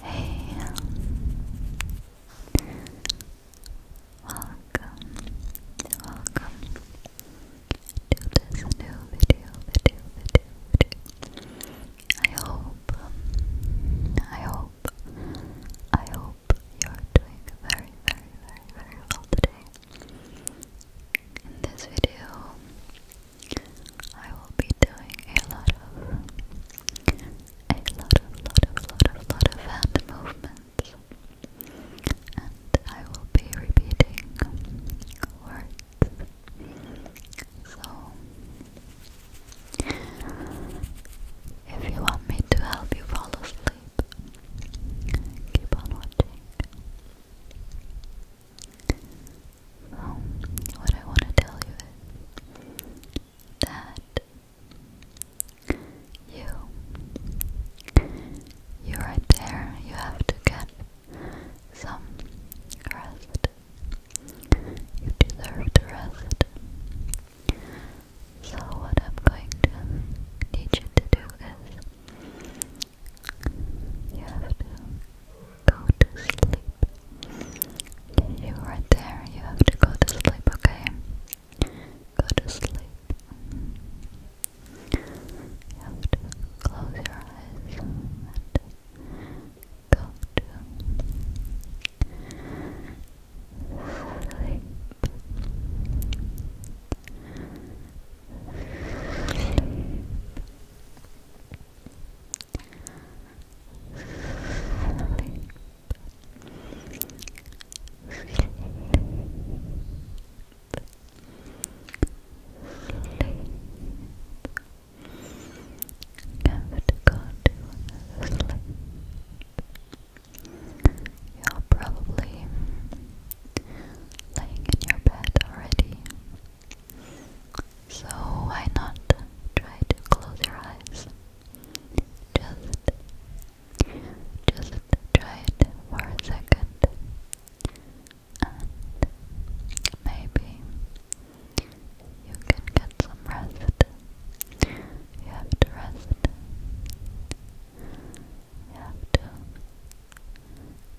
Hey, welcome, welcome to this new video, video, video, video. I hope, I hope, I hope you're doing very, very, very, very well today. In this video, I will be doing a lot of, a lot of, lot of, lot of, lot of hand movements, and I will be repeating words. So, if you want me to help you fall asleep, keep on watching. Um, what I want to tell you is that you, you're right there, you have to get some rest. You deserve to rest. So, what I'm going to teach you to do is you have to go to sleep. You are there. You have to go to sleep, okay? Go to sleep. You have to close your eyes and go to Sleep. You're probably laying in your bed already, so why not try to close your eyes? Just just try it for a second and maybe you can get some rest. You have to rest. You have to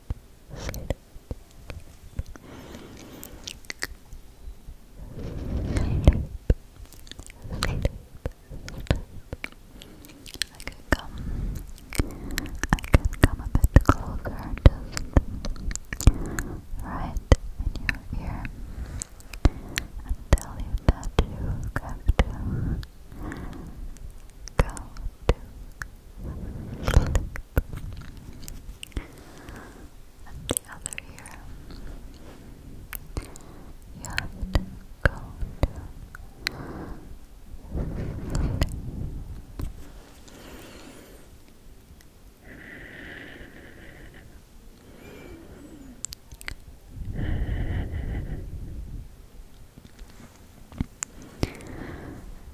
come a bit closer, just right in your ear and tell you that you have to go to and the other ear you have to go to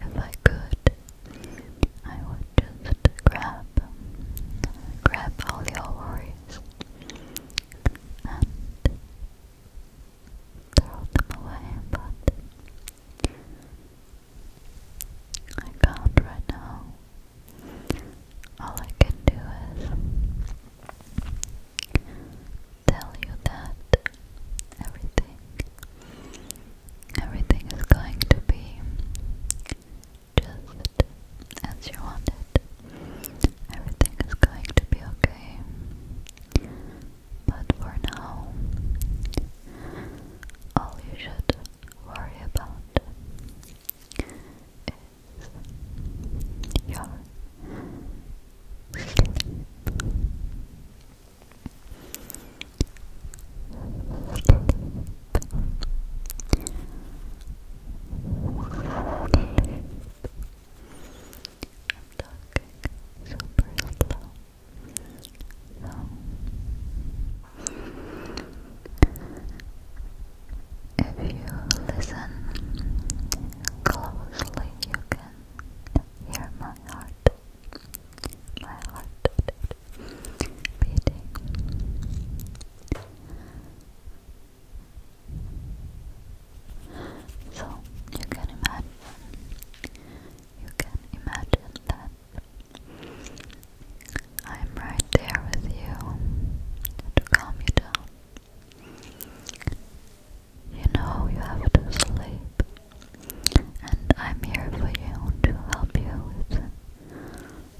if I could, I would just grab, grab all your worries and throw them away, but I can't right now. All I can do is tell you that everything everything is going to be just as you want Everything is going to be okay. But for now, all you should worry about is your if you listen closely, you can hear my heart so you can imagine, you can imagine that I'm right there with you to calm you down. You know you have to sleep, and I'm here for you to help you with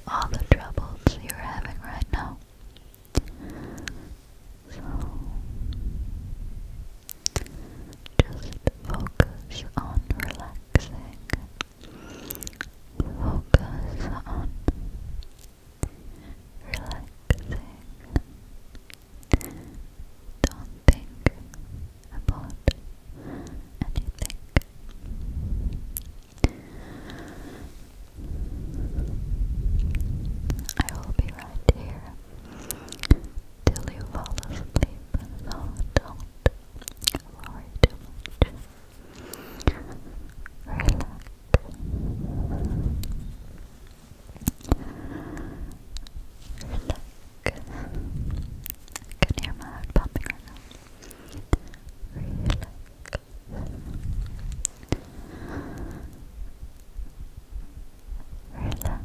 all the troubles you're having right now. So, just focus on relaxing, focus on relaxing. Don't think about anything. I will be right here till you fall asleep, so don't worry too much. Relax. Look. I can hear my heart pumping right now. Relax. Relax. Relax.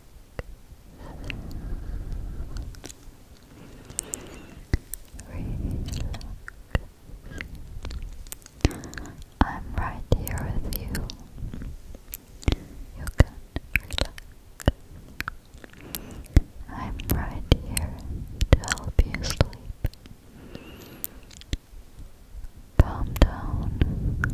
I'm right here with you. You can relax. I'm right here to help you sleep. Calm down.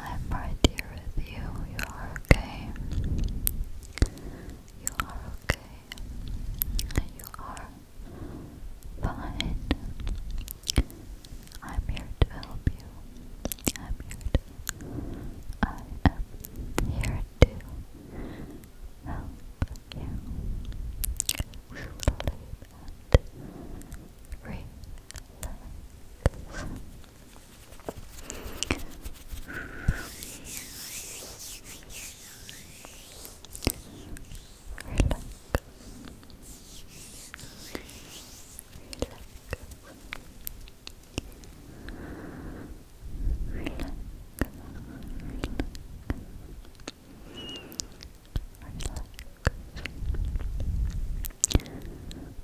I'm right here with you. You are okay. You are okay. You are fine. I'm here to help you. I'm here I am here to help you relax. Relax. Relax. Relax. Relax. Relax.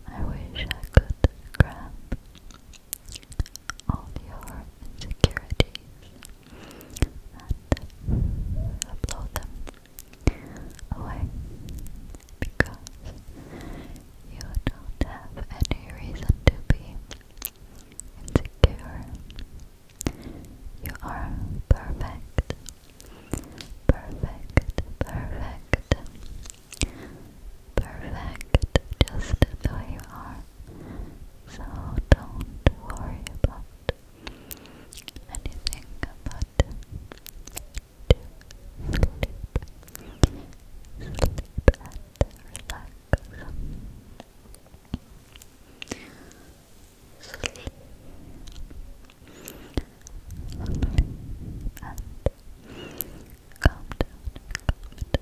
I wish I could grab all your insecurities and blow them away because you don't have any reason to be insecure. You are perfect, perfect, perfect, perfect, just the you are so don't worry about anything but to sleep, sleep and relax. Sleep, and calm down.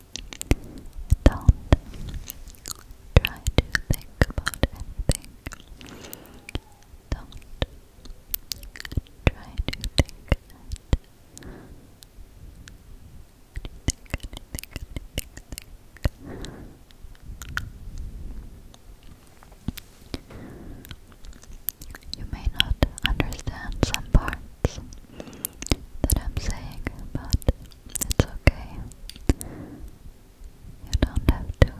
Don't try to think about anything. Don't try to think You may not understand some parts that I'm saying, but it's okay. You don't have to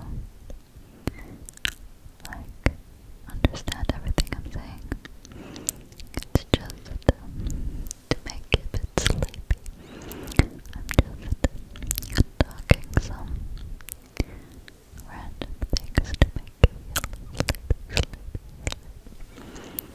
like understand everything I'm saying. It's just to make you a sleepy. I'm just talking some random things to make you feel sleepy.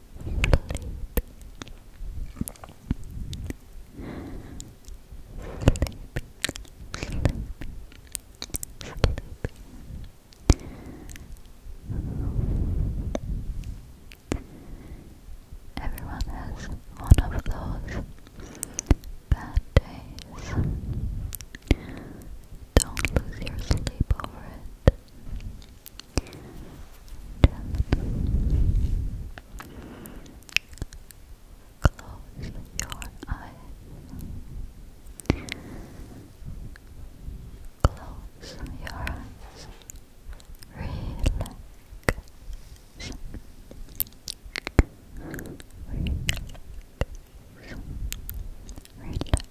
Everyone has one of those bad days. Don't lose your sleep over it. Close your eyes. Close your eyes. Relax. Relax. Relax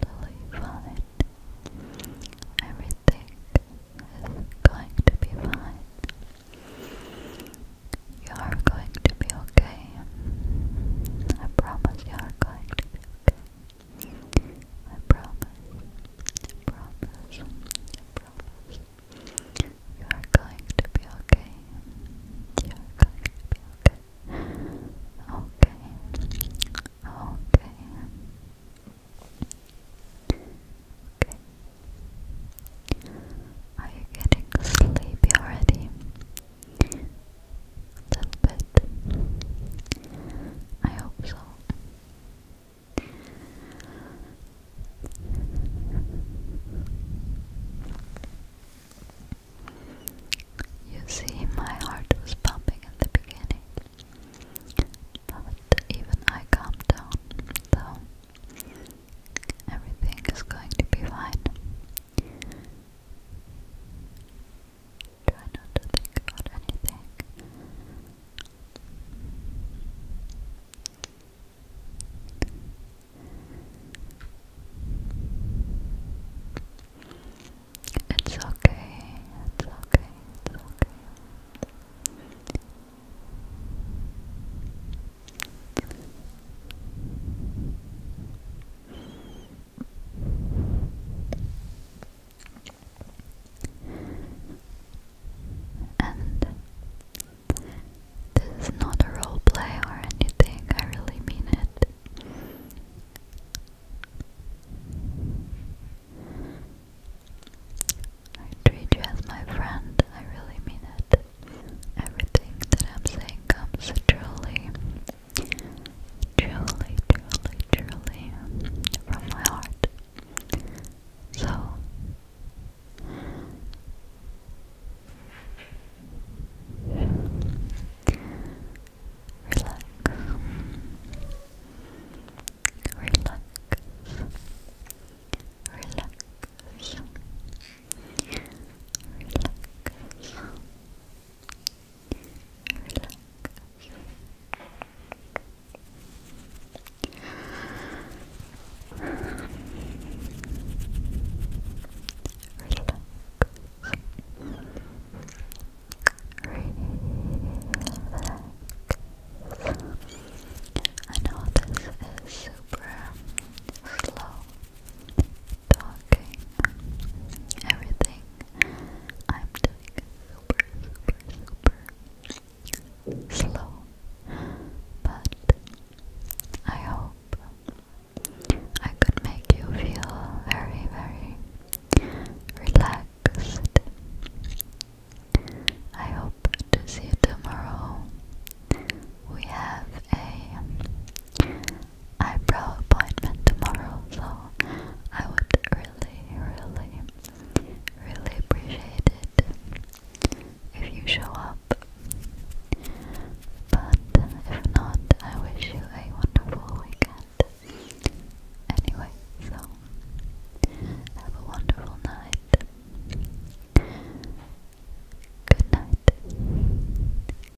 totally fine. Everything is going to be fine. You are going to be okay. I promise you are going to be okay. I promise. I promise. I promise. You are going to be okay. You are going to be okay. Okay. Okay. Okay. Are you getting sleepy already? little bit. I hope so. You see, my heart was pumping at the beginning, but even I calmed down, so everything is going to be fine. Try not to think about anything. It's okay, it's okay, it's okay. It's okay this is not a role play or anything, I really mean it. I treat you as my friend, I really mean it. Everything that I'm saying comes truly Truly, truly, truly from my heart. So relax. Relax. Relax. Relax relax. Relax. I know this is super slow talking, everything I'm doing super, super, super slow. But I hope I could make you feel very, very relaxed. I hope to see you tomorrow. We have a eyebrow appointment tomorrow, so I would really, really, really appreciate it if you show up. But if not, I wish you a wonderful weekend. Anyway, so have a wonderful night. Good night.